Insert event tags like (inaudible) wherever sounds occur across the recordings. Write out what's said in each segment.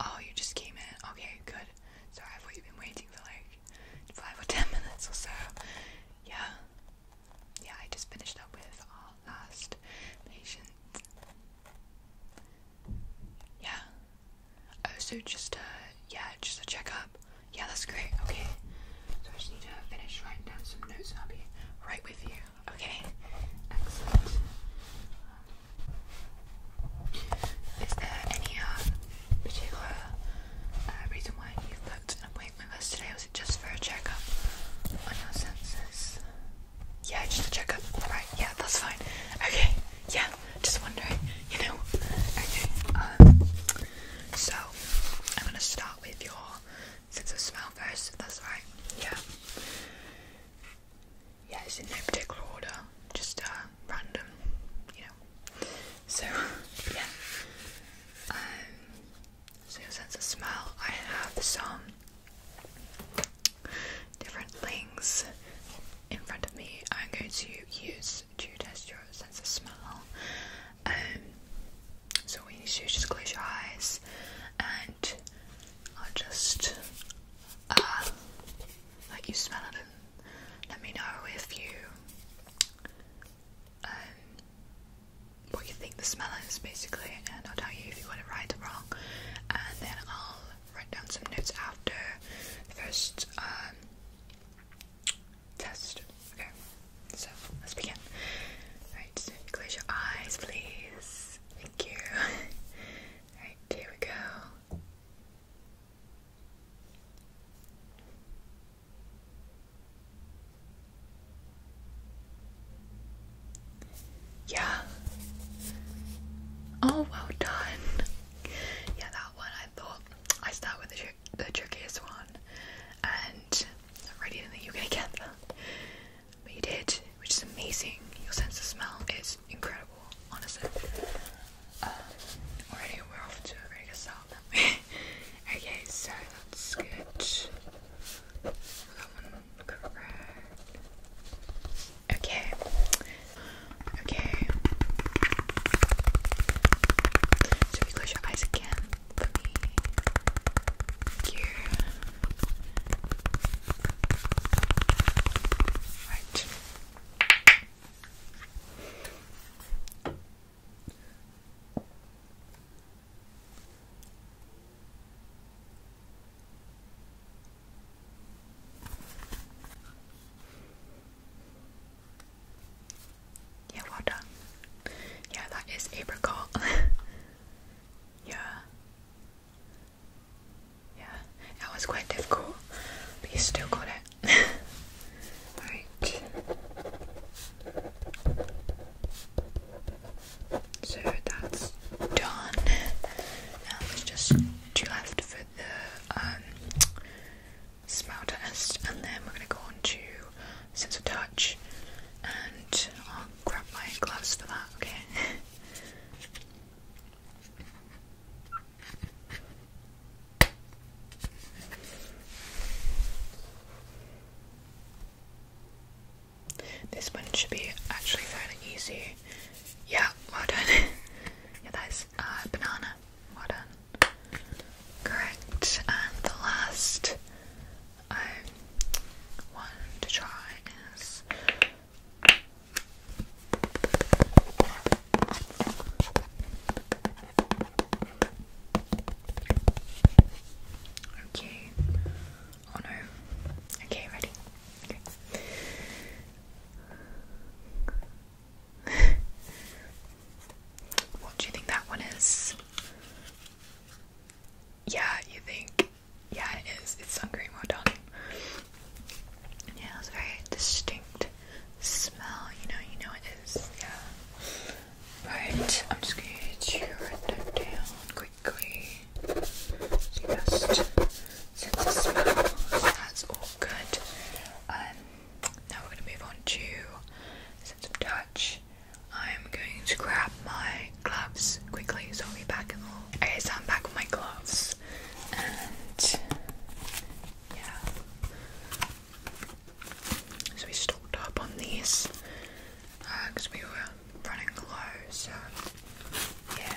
Oh, you just came in. Okay, good. So I've been waiting for like five or ten (laughs) minutes or so. Yeah, yeah. I just finished up with our last patient. Yeah. Oh, so just uh, yeah, just a checkup. Yeah, that's great. Okay. So I just need to finish writing down some notes, and I'll be right with you. Okay. Excellent. Is there any um, uh, particular reason why you booked an appointment with us today? Was it just for a checkup on your senses? Yeah, just a checkup. Alright, yeah, that's fine. Okay, yeah, just wondering, you know. Okay, um, so I'm gonna start with your sense of smell first, if that's right. Yeah yeah, it's in no particular order, just uh, random, you know. So, yeah. Um, so, your sense of smell, I have some different things in front of me I'm going to use to test your sense of smell. Um, so, what you need to do is just close your eyes and I'll just uh, like you smell it let me know if you um, what you think the smell is basically and I'll tell you if you got it right or wrong and then I'll write down some notes after the first um, test. Okay, so let's begin. Alright, close your eyes please. Thank you. (laughs) Alright, here we go. Yeah. Oh, well done. Yeah, that one I thought I start with the, the trickiest one, and I'm really didn't think you were gonna get that. But you did, which is amazing. Your sense of smell is incredible, honestly. Uh, already we're off to a very good start. (laughs) okay, so that's good. Okay. Okay. So close your eyes again for me. Thank yeah, well done. Yeah, that is apricot. (laughs) yeah. Yeah, that was quite difficult, but you still got it. Alright. (laughs) So that's done. Now there's just two left for the um, smell test, and then we're going to go on to sense of touch, and I'll grab my gloves for that, okay? (laughs) This one should be actually fairly easy. Yeah, well done. (laughs) yeah, that is uh, banana. Well done. Correct. And the last um, one to try is Okay. Oh no. Okay, ready. Okay. (laughs) what do you think that one is? Yeah, you think yeah, it is. It's sun cream, well done. Yeah, it's a very distinct smell. You know, you know it is. Yeah. Right, I'm just going to write that down quickly. Just sense the smell. That's all good. Um, now we're going to move on to sense of touch. I'm going to grab my gloves quickly, so I'll be back in a Okay, so I'm back with my gloves, and yeah. So we stocked up on these because uh, we were running low, so yeah.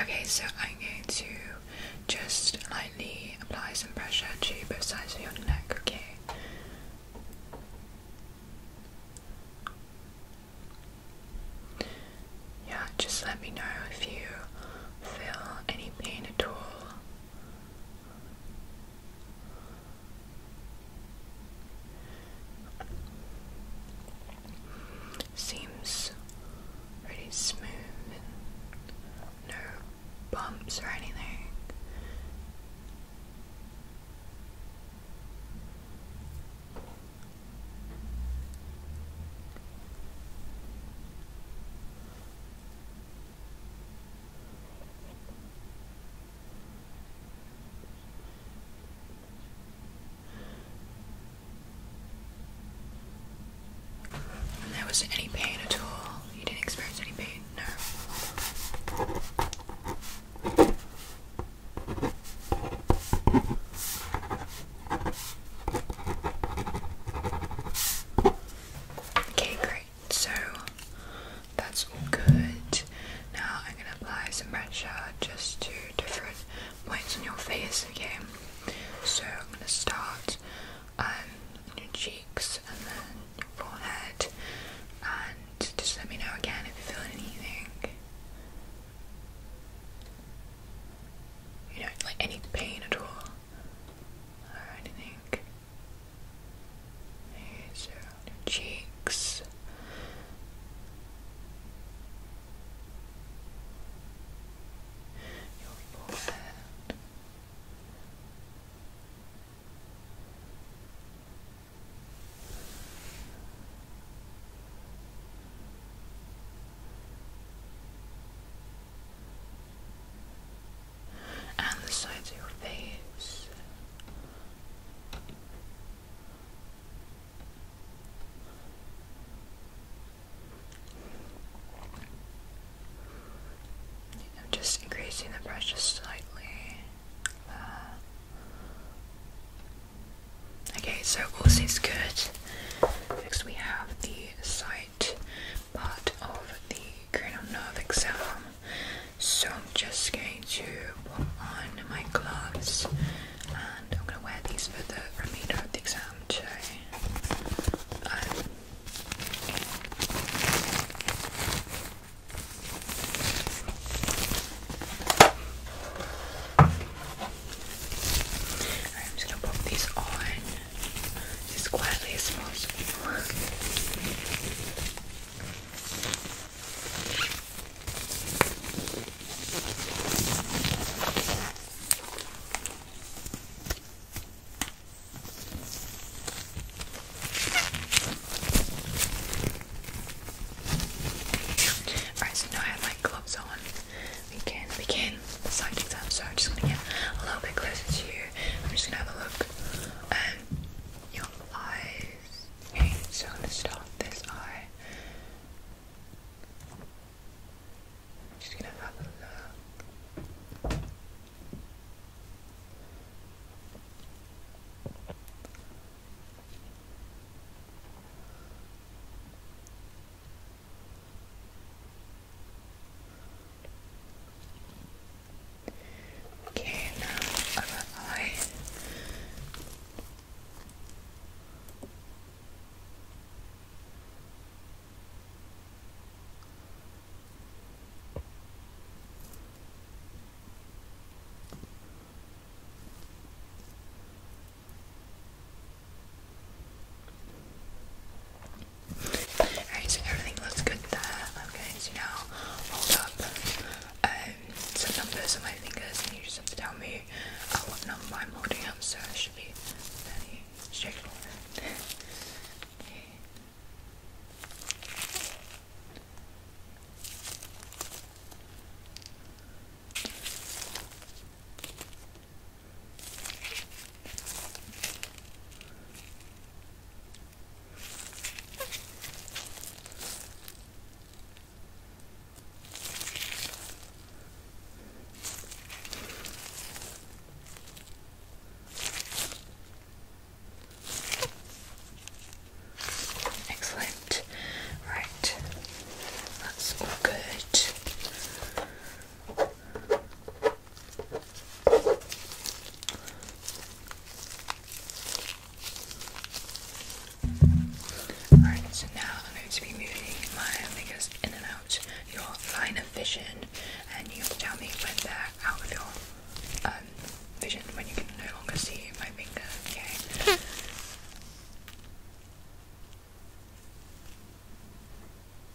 Okay, so I'm going to just lightly apply some pressure to both sides of your neck, okay? Yeah, just let me know if you feel any pain at all. Seems pretty smooth and no bumps or anything there was any pain at all. You didn't experience any pain, no. Okay, great so that's all good. Now I'm gonna apply some pressure just to different points on your face, okay? So I'm gonna start um, on your cheeks and then your forehead, and just let me know again if you feel anything. You know, like any pain at all or anything. These your cheeks. Your forehead and the sides of your face. I'm just increasing the pressure slightly. Uh, okay, so all seems good. Next we have the side part of the cranial nerve exam. So I'm just going to put on my gloves and I'm going to wear these for the remainder of the exam too. I'm going to pop these on as quietly as Alright, so now I have my gloves on. We can begin the side exam, so I'm just gonna get a little bit closer to you. I'm just gonna have a look um, your eyes. so I'm gonna start this eye. Just gonna have a look. Okay, now eye. Alright, so everything looks good there. Okay, so now hold up um, some numbers on my fingers and you just have to tell me uh, what number I'm holding so it should be fairly straightforward. Excellent. Right. That's all good. Alright, so now I'm going to be moving my fingers in and out your line of vision, and you tell me when they're out of your um, vision, when you can no longer see my finger, okay?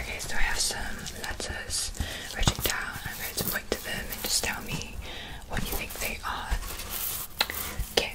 Okay, so I have some letters written down. I'm going to point to them and just tell me what you think they are. Okay.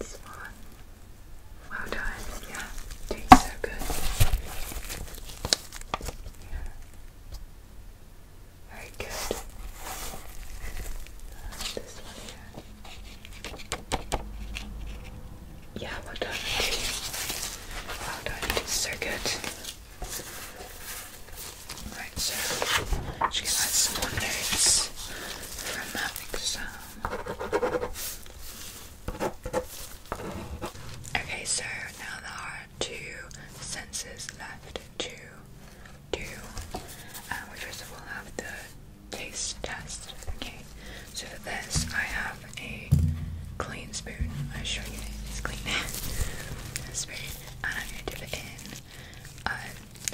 It's fun. done. Yeah, doing so good. Yeah. Very good. this one here. Yeah, well done. Well done. So good. Right, so I'm some notes from that Okay, so now there are two senses left to do. Um, we first of all have the taste test. Okay, so for this I have have a clean spoon. I assure you it's clean. spoon, and I'm going to dip it in uh,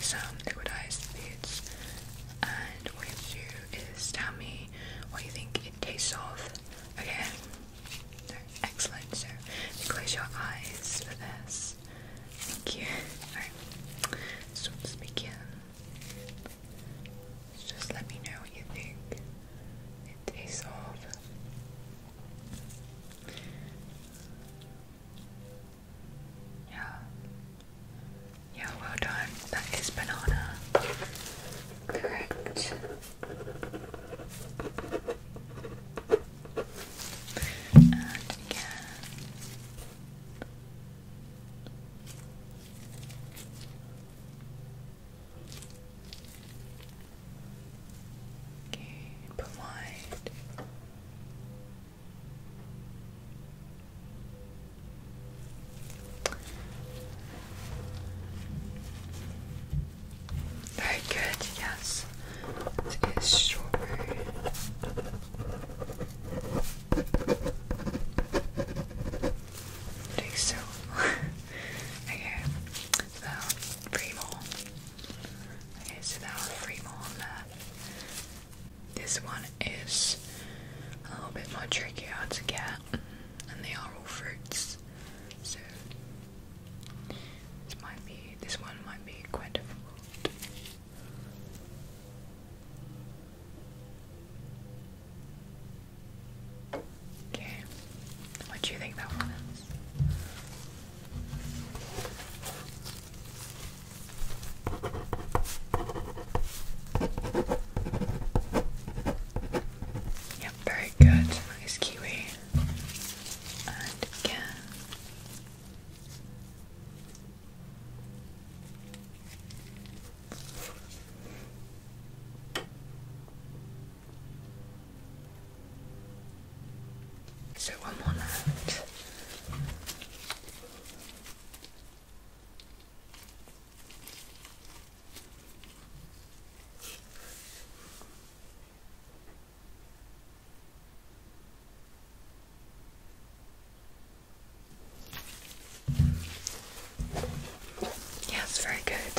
some liquidized foods. And what you do is tell me what you think it tastes of. Okay. So, excellent. So you close your eyes for this. Thank you. (laughs) Alright. So let's begin. Just let me know what you think. It tastes off. Yeah. Yeah, well done. That is banana. Correct. And again. Okay, polite. Very good, yes. It is strawberry. I think so. (laughs) Okay, three more. Okay, so there are three more This one is a little bit more tricky to get, and they are all fruits. So this might be this one might be quite difficult. Okay. What do you think that one is? Yep, very good. Nice kiwi. And again. So one more left. Yeah, it's very good.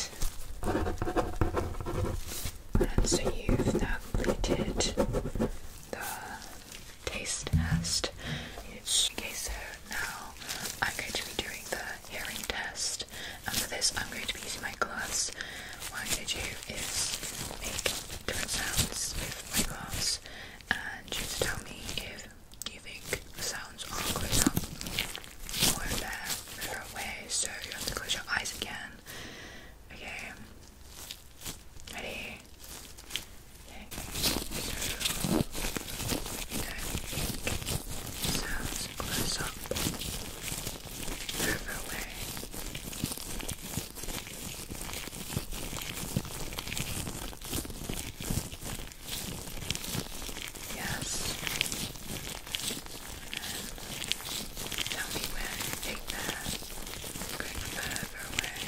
so you've now completed the taste test. Okay, so now I'm going to be doing the hearing test, for this, I'm going to be using my gloves. What I'm going to do is make different sounds with my gloves, and you tell me if you think sounds are close up further away? So you have to close your eyes again. Okay. Ready? Okay. sounds close up further away. Yes. And tell me where you take that. Going further away.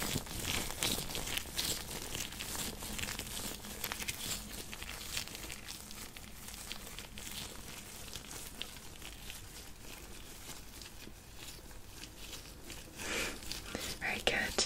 Very good.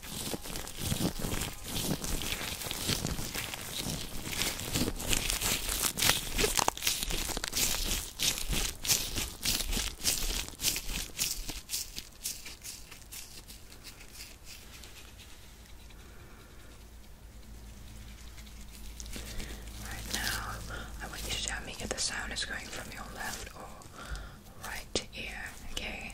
Right now, I want you to tell me if the sound is going from your left or right ear, okay?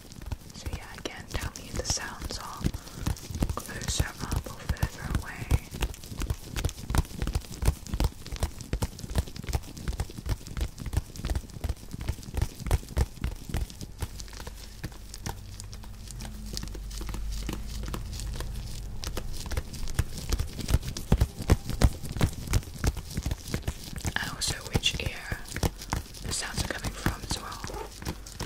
So yeah, I again, tell me if the sounds are closer or further away. And also which ear the sounds are coming from as well.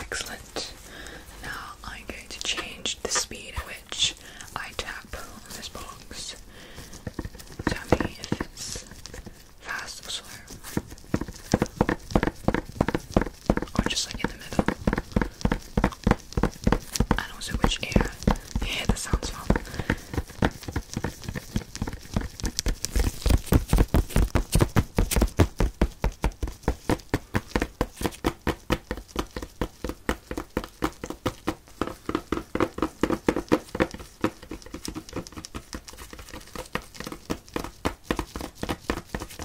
Excellent. Now I'm going to change the speed at which I tap this box. Tell me if it's fast or slow or just like in the middle. I don't know which ear the that sounds from.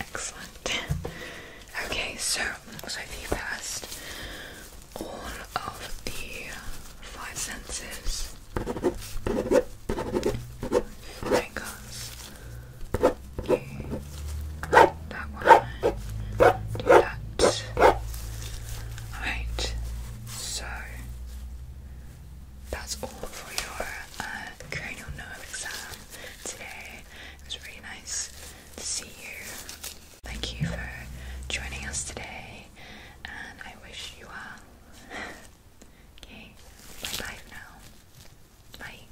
Excellent. Okay, so so you passed all of the five senses. Fingers. That one. Do that. Alright. So that's all for your uh, cranial nerve exam today. It was really nice to see you. Thank you for joining us today, and I wish you all (laughs) okay, bye bye now. Bye.